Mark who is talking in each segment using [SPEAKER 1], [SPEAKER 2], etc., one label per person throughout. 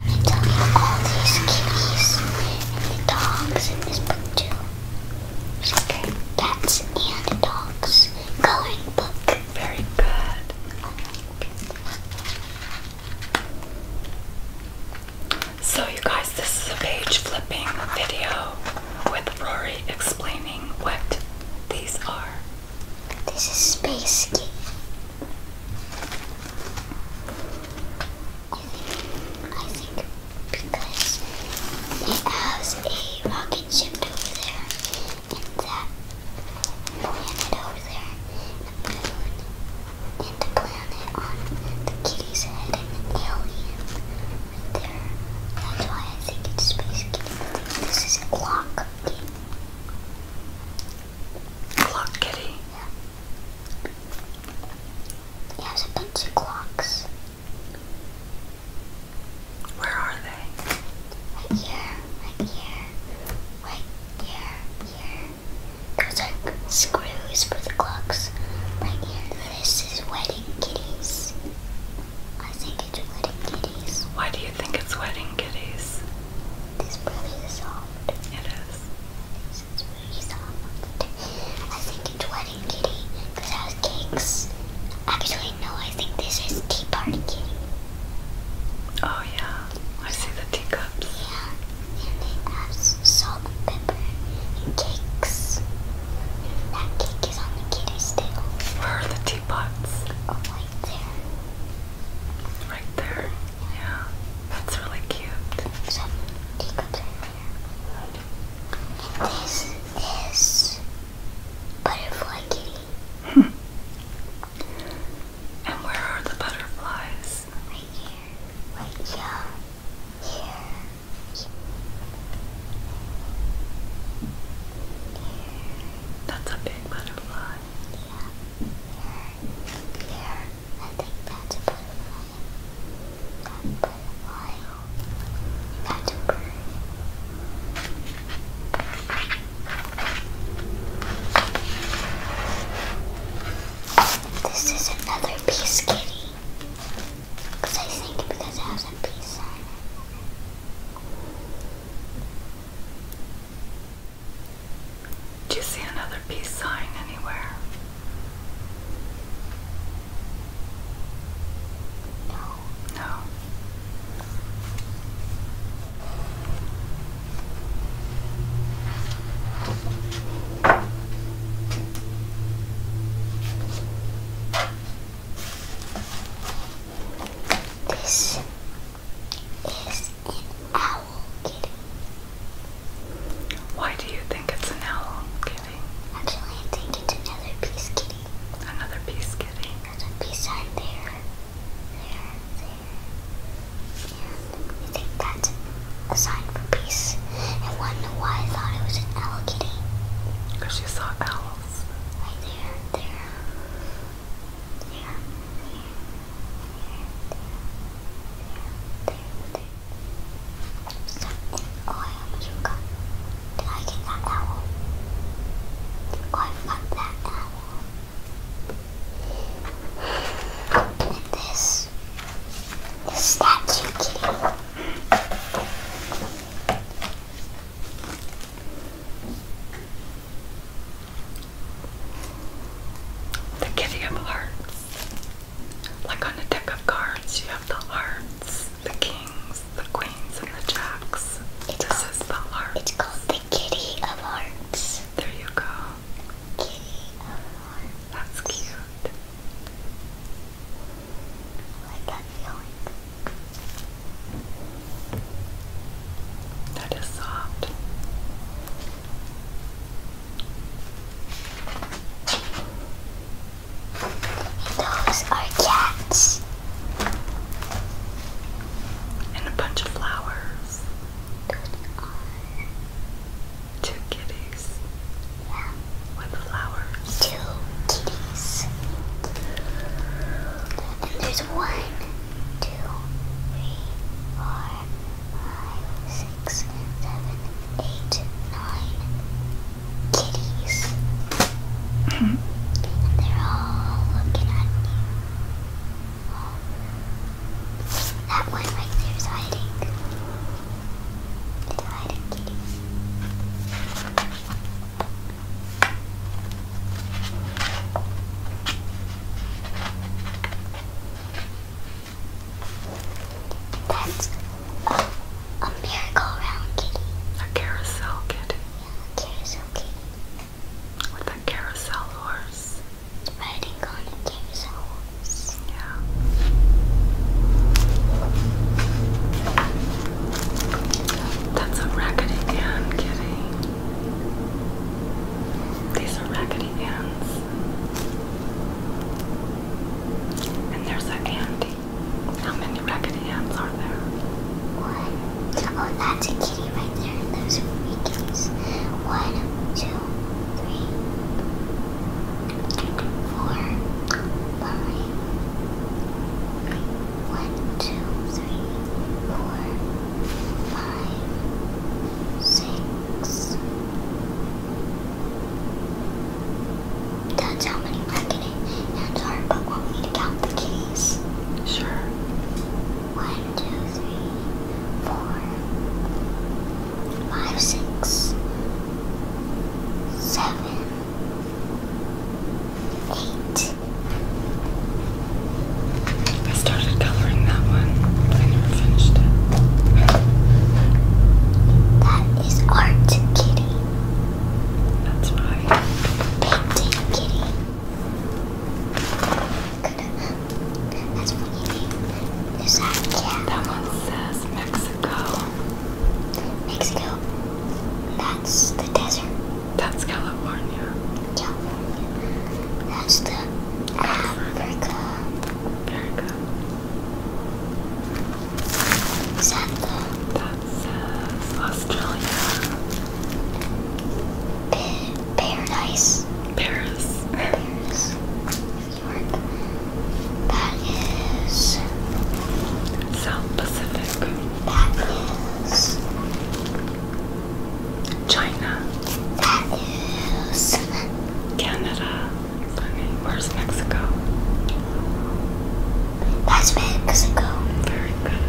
[SPEAKER 1] I'm telling you, all these kitties and the dogs in this book too. It's like and dogs coloring book. Very good. So you guys, this is a page flipping video with Rory explaining what these are. This is Space Kitty. I think because it has a rocket ship over there and that planet over there, the moon, and the planet on the kitty's head and an alien right there. That's why I think it's space kitty. This is a clock game. Clock kitty. Yeah. It has a bunch of clocks. Where are they? Right here, right here, right here, here. Those are screws for the clocks. Right here. This is wedding kitties. I think it's wedding kitties. Why do you think it's wedding kitties? This brush is soft. It is. It's really soft. I think it's Wedding Kitty because it has cakes. Actually, no, I think this is Tea Party Kitty. Oh, yeah. I see the teacups. Yeah. And it has salt and pepper and cakes. That cake is on the kitty's tail. Where are the teapots? Oh, right there. Yeah. That's really cute. This is Butterfly Kitty. And where are the butterflies? Right here. Right here. Here. Here. That's a big butterfly here. I think that's a butterfly. That butterfly. That's a This is another piece kitty. Because I think because it has a piece on it. Do you see another peace sign anywhere? No. No. This is an owl kitty. Why do you think it's an owl kitty? Actually, I think it's another piece kitty. Another piece kitty. Another piece on there, there, there. And I think that's a sign for peace. I wonder why I thought it was an owl kitty. Because you saw owl Yes, there, there, there, there, there, there, there, there. Oh, I almost forgot. Did I get that owl? Oh, I forgot that owl. And this, this statue kitty. They give you hearts. Like on a deck of cards, you have the hearts, the kings, the queens, and the jacks. this is the heart. It's called the kitty of hearts. There you go. Kitty of hearts. That's cute. That is soft. Those are cats. And a bunch of flowers. two kitties with flowers. Two kitties. And there's one, two, three, four, five, six, seven, eight, nine kitties. they're all looking at you. That one right there is hiding. Little-eyed That's a merry-go-round kitty. A carousel kitty. Yeah, carousel kitty. With a carousel horse. Riding on a carousel horse. Yeah. That's a Raggedy hand, kitty. These are Raggedy Ann's. And there's an Andy. How many Raggedy Ann's are there? One. Oh, that's a kitty right there. Those are three One, two, three, four, five, one, two, three, four, five, six. That's how many marketing hands are, but want me to count the keys? Sure. One, two, three, four, five, six, seven, eight. I started coloring that one, but I never finished it. That is art, kitty. That's art. Painting, kitty. Good. Is that yeah. That one says Mexico. Mexico. That's the desert. That's California. California. That's the Africa. America. Is Australia. paradise. Paris that is South Pacific. That is China. That is Canada. Funny. Where's Mexico? That's Mexico. Very good.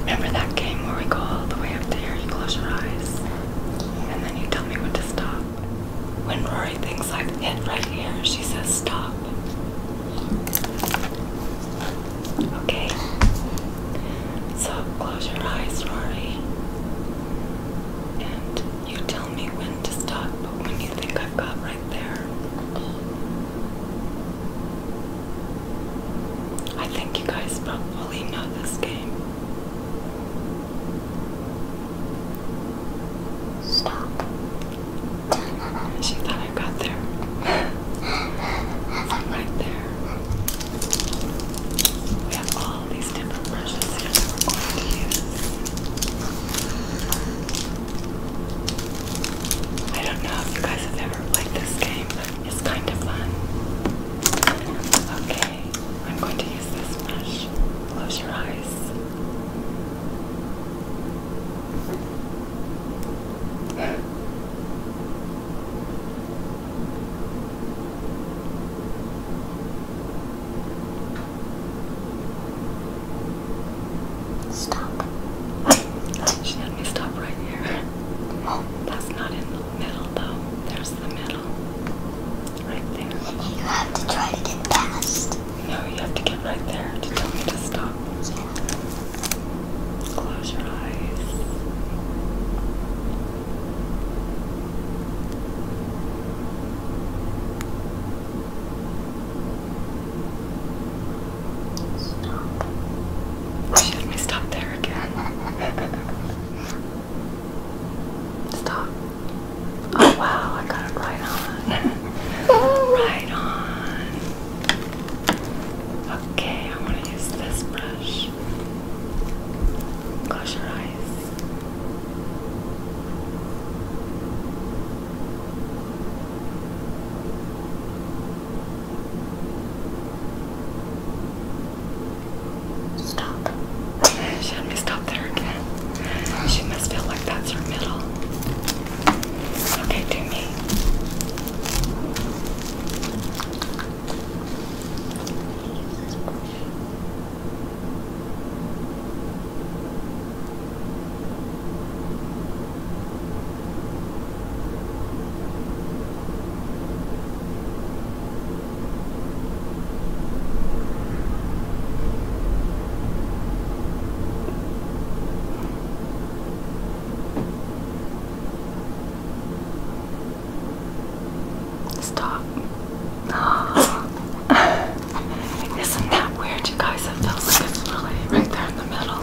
[SPEAKER 1] Remember that game where we go all the way up there, you close your eyes, and then you tell me when to stop? When Rory thinks I've hit right here, she says stop. Okay. So close your eyes, Rory. And you tell me when to stop, but when you think I've got right there. I think you guys probably know this game. Stop. She thought I got there. I'm right there. We have all these different brushes here that going to use. I don't know if you guys have ever played this game, it's kind of fun. Okay, I'm going to use this brush. Close your eyes. Stop. she had me stop right here. Oh, that's not in the middle though. There's the middle. Right there. You have to try to get past. No, you have to get right there to tell me to stop. Yeah. Close your eyes. Stop. Let me stop there again. Stop. Oh wow, I got it right on. right on. Okay, I want to use this brush. Close your eyes. Stop. She had me stop there again. She must feel like that's her middle. Okay, do me. Stop. Isn't that weird, you guys? It feels like it's really right there in the middle.